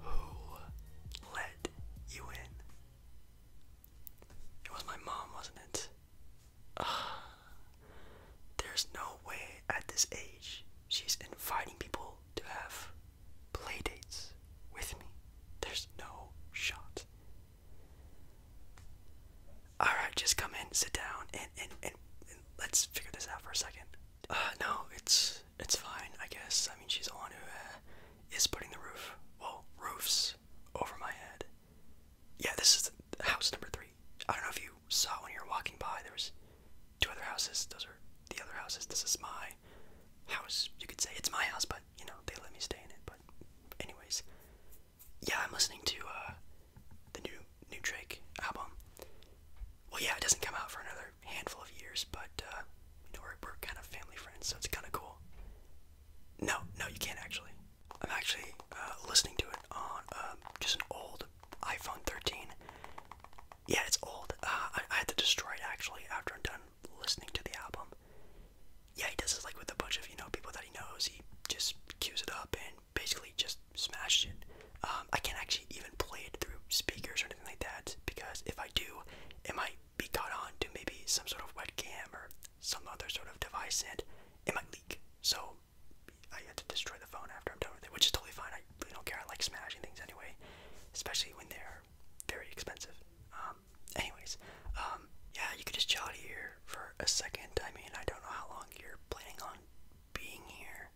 Who let you in? It was my mom, wasn't it? there's no way at this age she's inviting people to have playdates with me. There's no shot. Alright, just come in, sit down, and, and, and, let's figure this out for a second. Uh, no, it's, it's fine, I guess. I mean, she's the one who uh, is putting the roof, well, roofs over my head. Yeah, this is house number three. I don't know if you saw when you were walking by, there was two other houses. Those are the other houses. This is my house. You could say it's my house, but, you know, they let me stay in it. But anyways, yeah, I'm listening to uh, the new new Drake album. Well, yeah, it doesn't come out for another handful of years, but uh, you know, we're, we're kind of family friends, so it's kind of cool. No, no, you can't actually. I'm actually uh, listening to it on um, just an old iPhone 13. Yeah, it's old. Uh, I, I had to destroy it actually after I'm done listening to the album yeah, he does this like with a bunch of you know people that he knows. He just cues it up and basically just smashes it. Um, I can't actually even play it through speakers or anything like that because if I do, it might be caught on to maybe some sort of webcam or some other sort of device, and it might leak. So I had to destroy the phone after I'm done with it, which is totally fine. I really don't care. I like smashing things anyway, especially when they're very expensive. Um, um, anyways, um, yeah, you could just chill out here for a second. I mean, I don't know how long you're planning on being here.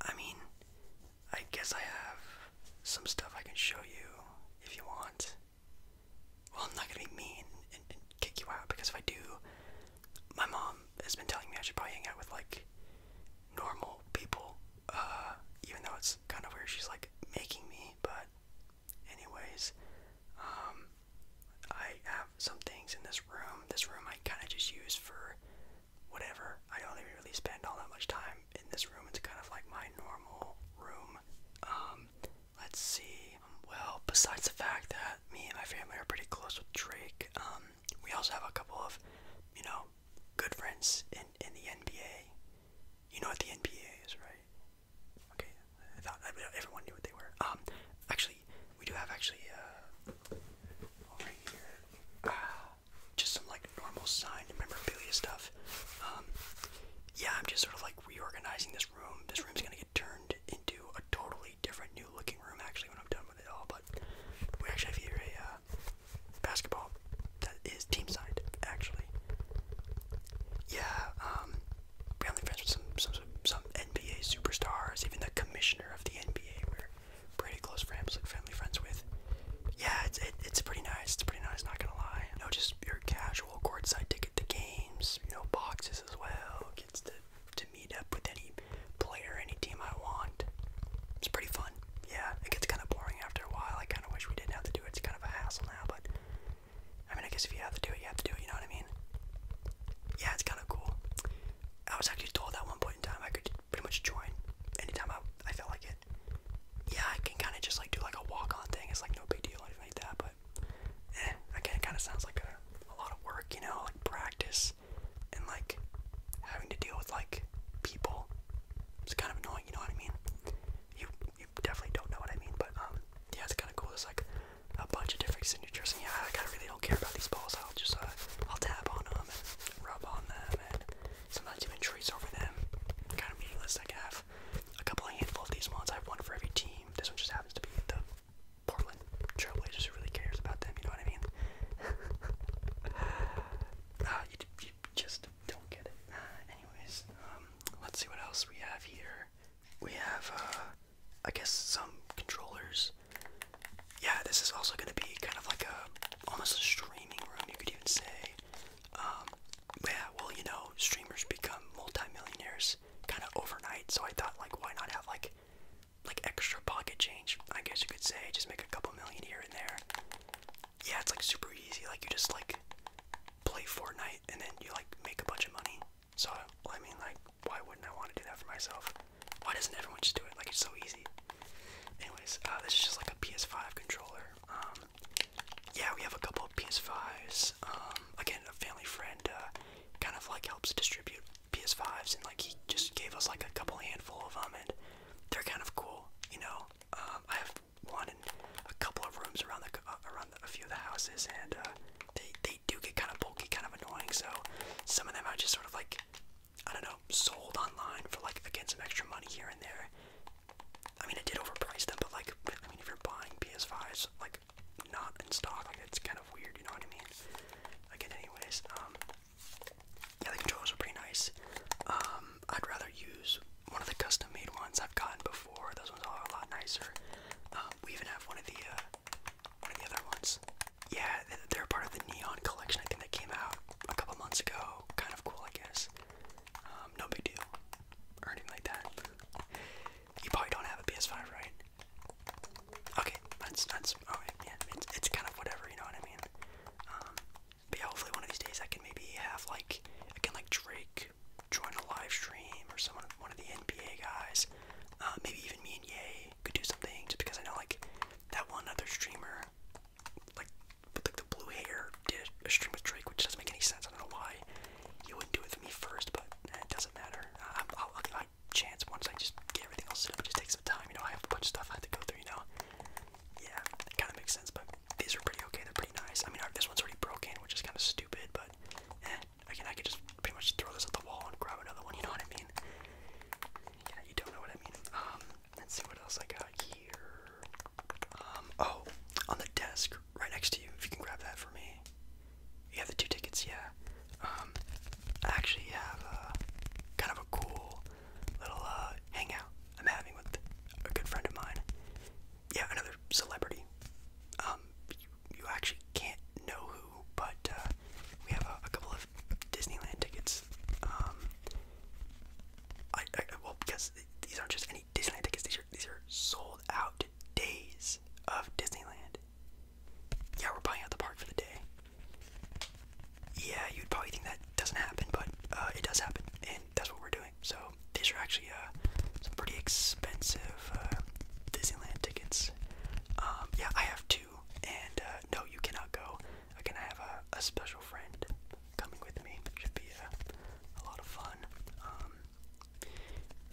I mean, I guess I have some stuff I can show you if you want. Well, I'm not gonna be mean and, kick you out because if I do, my mom has been telling me I should probably hang out with like normal people. Uh, even though it's kind of weird, she's like making me, but anyways, um, I have some things in this room. This room I kind of just use for whatever. I don't even really spend all that much time in this room. It's kind of like my normal room. Um, let's see. Well, besides the fact that me and my family are pretty close with Drake, um, we also have a couple of, you know, good friends in in the NBA. You know what the NBA is, right? Okay, I thought everyone knew what they were. Um, actually, we do have actually uh, over here uh, just some like normal sign and memorabilia stuff. Um, yeah, I'm just sort of like reorganizing this room. This room's gonna get turned into a totally different, new looking room actually when I'm done with it all. But we actually have here a uh, basketball is team side, actually. Yeah, um, we friends with some, some, some NBA superstars, even the commissioner of the NBA, we're pretty close friends, like family friends with. Yeah, it's, it's pretty nice, it's pretty nice, not gonna lie. You just your casual courtside ticket to games, you know, boxes as well, gets to, to meet up with any player, any team I want. It's pretty fun. Yeah, it gets kind of boring after a while. I kind of wish we didn't have to do it. It's kind of a hassle now, but I mean, I guess if you have to do it, you have to do it, you know what I mean? Yeah, it's kind of cool. I was actually told at one point in time I could pretty much join anytime I, I felt like it. Yeah, I can kind of just like do like a walk on thing, it's like no big deal or anything like that, but eh, again, it kind of sounds like a, a lot of work, you know, like practice and like having to deal with like people. It's kind of annoying, you know what I mean? You you definitely don't know what I mean, but um, yeah, it's kind of cool. There's like a bunch of different signatures, and yeah, I kind of really don't care about these balls. I'll just uh, I'll tap on them and rub on them, and sometimes even trace over them. Kind of meaningless. I can have a couple of handful of these ones. I have one for every team. This one just happens to be the Portland Trailblazers. Who really cares about them? You know what I mean? uh, you, just don't get it. Uh, anyways, um, let's see what else we have here. We have, uh, I guess some controllers. Yeah, this is also going to be kind of like a, almost a streaming room, you could even say. Um, yeah, well, you know, streamers become multimillionaires kind of overnight, so I thought, like, why not have, like, like extra pocket change, I guess you could say, just make a couple million here and there yeah, it's like super easy. Like you just like play Fortnite and then you like make a bunch of money. So I mean, like, why wouldn't I want to do that for myself? Why doesn't everyone just do it? Like it's so easy. Anyways, uh, this is just like a PS5 controller. Um, yeah, we have a couple PS5s. Um, again, a family friend uh, kind of like helps distribute PS5s, and like he just gave us like a couple handful of them, and they're kind of cool, you know. Um, I have one and a couple of rooms around the uh, around the, a few of the houses, and uh, they they do get kind of bulky, kind of annoying. So some of them are just sort of like I don't know, sold online for like again some extra money here and there. I mean, I did overprice them, but like I mean, if you're buying PS5s like not in stock, like it's kind of weird. You know what I mean? Again, anyways, um, yeah, the controllers are pretty nice. Um, I'd rather use one of the custom made ones I've gotten before. Those ones are a lot nicer. Um, we even have one of the uh, one of the other ones. Yeah, they're part of the Neon collection. I think that came out a couple months ago. Kind of cool, I guess. Um, no big deal or anything like that. You probably don't have a PS5, right? Okay, that's that's all right. Yeah, it's it's kind of whatever. You know what I mean? Um, yeah, hopefully one of these days I can maybe have like I can like Drake join a live stream or someone one of the NBA guys. Uh, maybe even me and Yay could do something just because I know like that one other streamer like with like the blue hair did a stream with Drake, which doesn't make any sense. I don't know why you wouldn't do it for me first, but eh, it doesn't matter. Uh, I'll, I'll give it a chance once I just get everything else set up. It just takes some time, you know. I have a bunch of stuff I have to go through, you know yeah, it kind of makes sense. But these are pretty okay. They're pretty nice. I mean, this one's already broken, which is kind of stupid. But eh, again, I could just pretty much throw this at the wall and grab another one. You know what I mean? Yeah, you don't know what I mean. Um, let's see what else I got here. Um, oh, on the desk right next to you. If you can grab that for me. You have the two tickets, yeah. Um, I actually have a uh, kind of a cool little uh, hangout I'm having with a good friend of mine. Yeah, another celebrity. Um, you, actually can't know who, but uh, we have a, couple of Disneyland tickets. Um, I well because these aren't just any Disneyland tickets. These are these are sold out days of Disneyland. Yeah, we're buying out the park for the day yeah, you'd probably think that doesn't happen, but uh, it does happen, and that's what we're doing. So these are actually uh, some pretty expensive uh, Disneyland tickets. Um, yeah, I have two, and uh, no, you cannot go. Again, I have a, a special friend coming with me. It should be a, uh, a lot of fun. Um,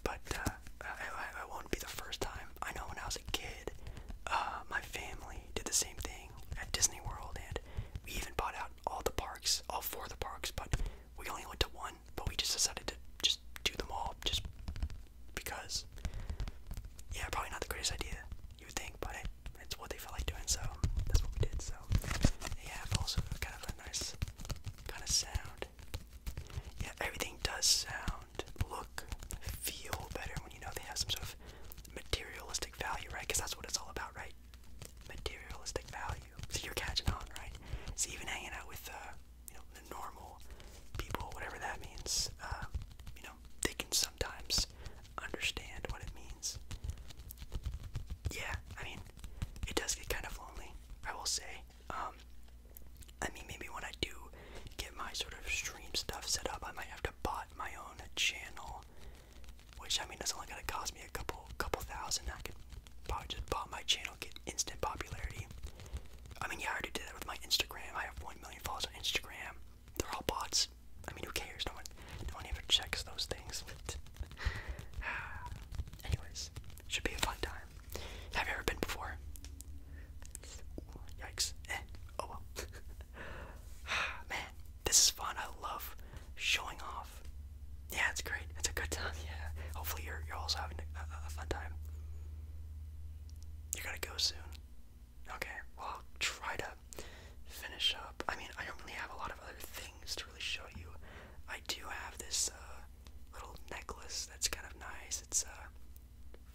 but uh, I, I, I won't be the first time. I know when I was a kid, uh, my family did the same thing at Disney World, and we even bought out all the parks, all four of the parks, but we only went to one. But we just decided to just do them all, just because. Yeah, probably not the greatest idea you would think, but it's what they felt like doing, so that's what we did. So they have also kind of a nice kind of sound. Yeah, everything does sound, look, feel better when you know they have some sort of materialistic value, right? Because that's what it's all about, right? materialistic value. So you're catching on, right? So even hanging out with uh, you know the normal people, whatever that means, uh, you know they can sometimes understand what it means. Yeah, I mean it does get kind of lonely, I will say. Um, I mean maybe when I do get my sort of stream stuff set up, I might have to bot my own channel which I mean that's only gonna cost me a couple couple thousand. I could probably just buy my channel, get instant popularity. I mean yeah, I already did that with my Instagram. I have one million followers on Instagram. They're all bots. I mean who cares? No one no one ever checks those things. Anyways, should be a fun time. Have you ever been before? yikes. Eh, oh well. Man, this is fun. I love showing off. Yeah, it's great. It's a good time. Yeah. Hopefully you're you're also having a, fun time. You gotta go soon. Okay. Well, I'll try to finish up. I mean, I don't really have a lot of other things to really show you. I do have this uh, little necklace that's kind of nice. It's uh,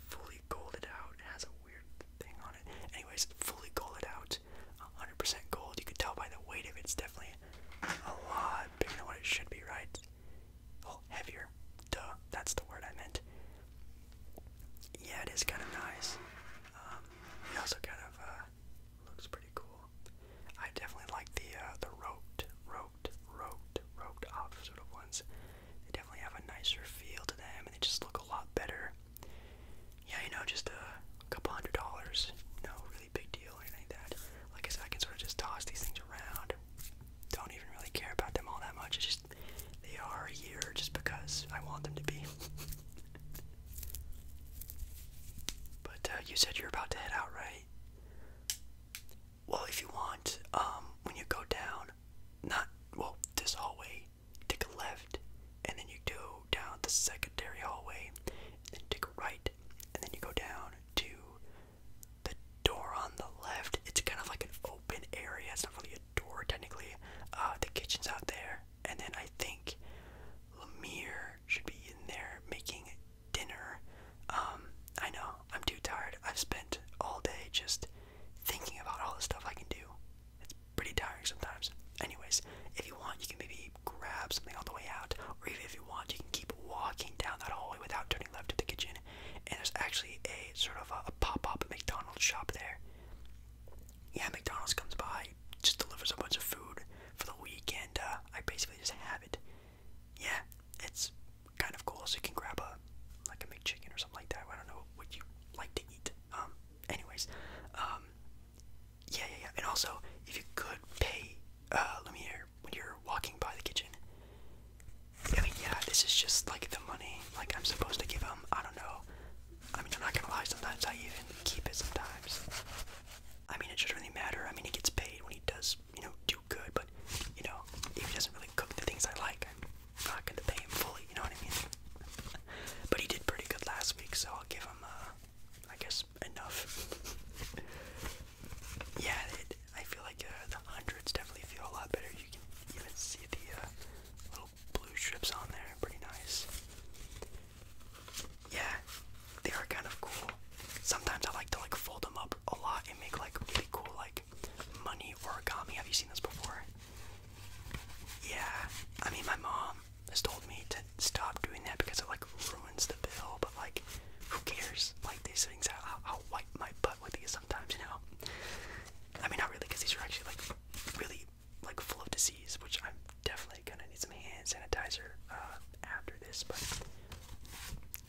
fully golded out. It has a weird thing on it. Anyways, fully golded out. 100% gold. You can tell by the weight of it, it's definitely a lot bigger than what it should be, right? Oh, heavier. Duh, that's the word I meant. Yeah, it is kind of nice. Um, it also kind of uh, looks pretty cool. I definitely like the uh, the roped, roped, roped, roped off sort of ones. They definitely have a nicer feel to them, and they just look a lot better yeah, you know, just a couple hundred dollars, no really big deal or anything that. Like I said, I can sort of just toss these things around. Don't even really care about them all that much. It's just they are here just because I want them to be. but uh, you said you're about to head out, right? Well, if you want, um, when you go down, not well this hallway take a left, and then you go down the secondary hallway, and then take a right, and then you go down to the door on the left. It's kind of like an open area. It's not really a door technically. Uh, the kitchen's out there, and then I think Lemire should be in there making dinner. Um, I know I'm too tired. I've spent all day just thinking about all the stuff I can do pretty tiring sometimes. Anyways, if you want, you can maybe grab something on the way out, or even if you want, you can keep walking down that hallway without turning left to the kitchen. And there's actually a sort of a, pop-up McDonald's shop there. Yeah, McDonald's comes by, just delivers a bunch of food for the week, and uh, I basically just have it. Yeah, it's kind of cool. So you can grab a like a McChicken or something like that. I don't know what you like to eat. Um, anyways, um, yeah, yeah, yeah. And also, if you could pay uh, Lumiere when you're walking by the kitchen, I mean, yeah, this is just like the money like I'm supposed to give him. I don't know. I mean, I'm not gonna lie. Sometimes I even keep it. Sometimes. I mean, it doesn't really matter. I mean, he gets paid when he does, you know, do good. But you know, if he doesn't really cook the things I like, not going to pay him fully, you know what I mean? but he did pretty good last week, so I'll give him, uh, I guess, enough. yeah, it, I feel like uh, the hundreds definitely feel a lot better. You can even see the uh, little blue strips on there, pretty nice. Yeah, they are kind of cool. Sometimes I like to like fold them up a lot and make like really cool like money origami. Have you seen this before? Yeah, I mean, my mom has told me to stop doing that because it like ruins the bill, but like, who cares? Like, these things, I'll, I'll wipe my butt with these sometimes, you know? I mean, not really, because these are actually like really like full of disease, which I'm definitely gonna need some hand sanitizer uh, after this, but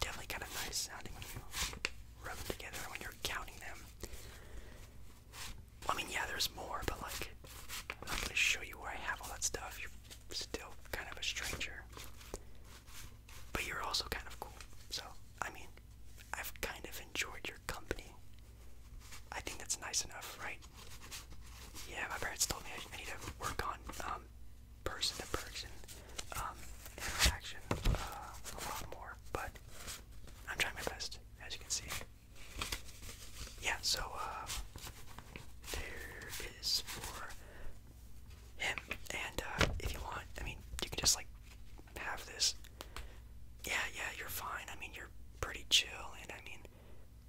definitely kind of nice sounding when you rub them together when you're counting them. I mean, yeah, there's more, but like, I'm not gonna show you where I have all that stuff. You're still kind of a stranger, but you're also kind of cool. So, I mean, I've kind of enjoyed your company. I think that's nice enough, right? Yeah, my parents told me I, need to work on um, person to person um, interaction uh, a lot more, but I'm trying my best as you can see. Yeah, so uh, there is for him, and uh, if you want, I mean, you can just like have this. Yeah, yeah, you're fine. I mean, you're pretty chill, and I mean,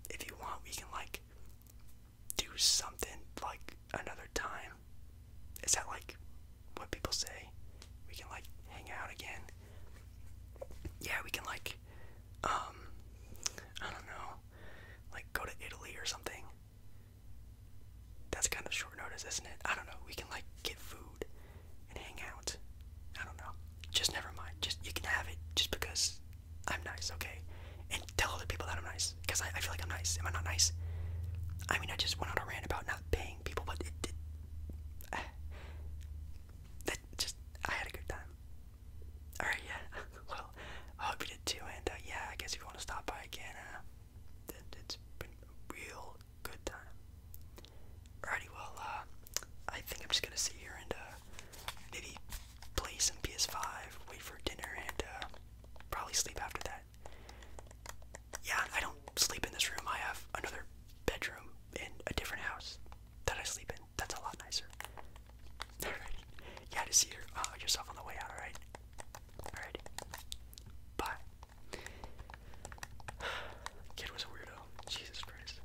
if you want, we can like do something like another time. Is that like what people say. We can like hang out again. Yeah, we can like um I don't know, like go to Italy or something. That's kind of short notice, isn't it? I don't know. We can like get food and hang out. I don't know. Just never mind. Just you can have it just because I'm nice, okay? And tell other people that I'm nice. Because I, I feel like I'm nice. Am I not nice? I mean, I just went on a rant about not paying people, but it, it that just I had a good time. Alright, yeah. Well, I hope you did too. And uh, yeah, I guess if you want to stop by again, uh, it, has been a real good time. Alrighty, well, uh, I think I'm just gonna sit here and maybe play some PS5, wait for dinner, and probably sleep after that. Yeah, I don't sleep in this room. I have another bedroom in a different house that I sleep in. That's a lot nicer. Alright. Yeah, to see uh, yourself on the way out, alright? Alright. Bye. Kid was a weirdo. Jesus Christ.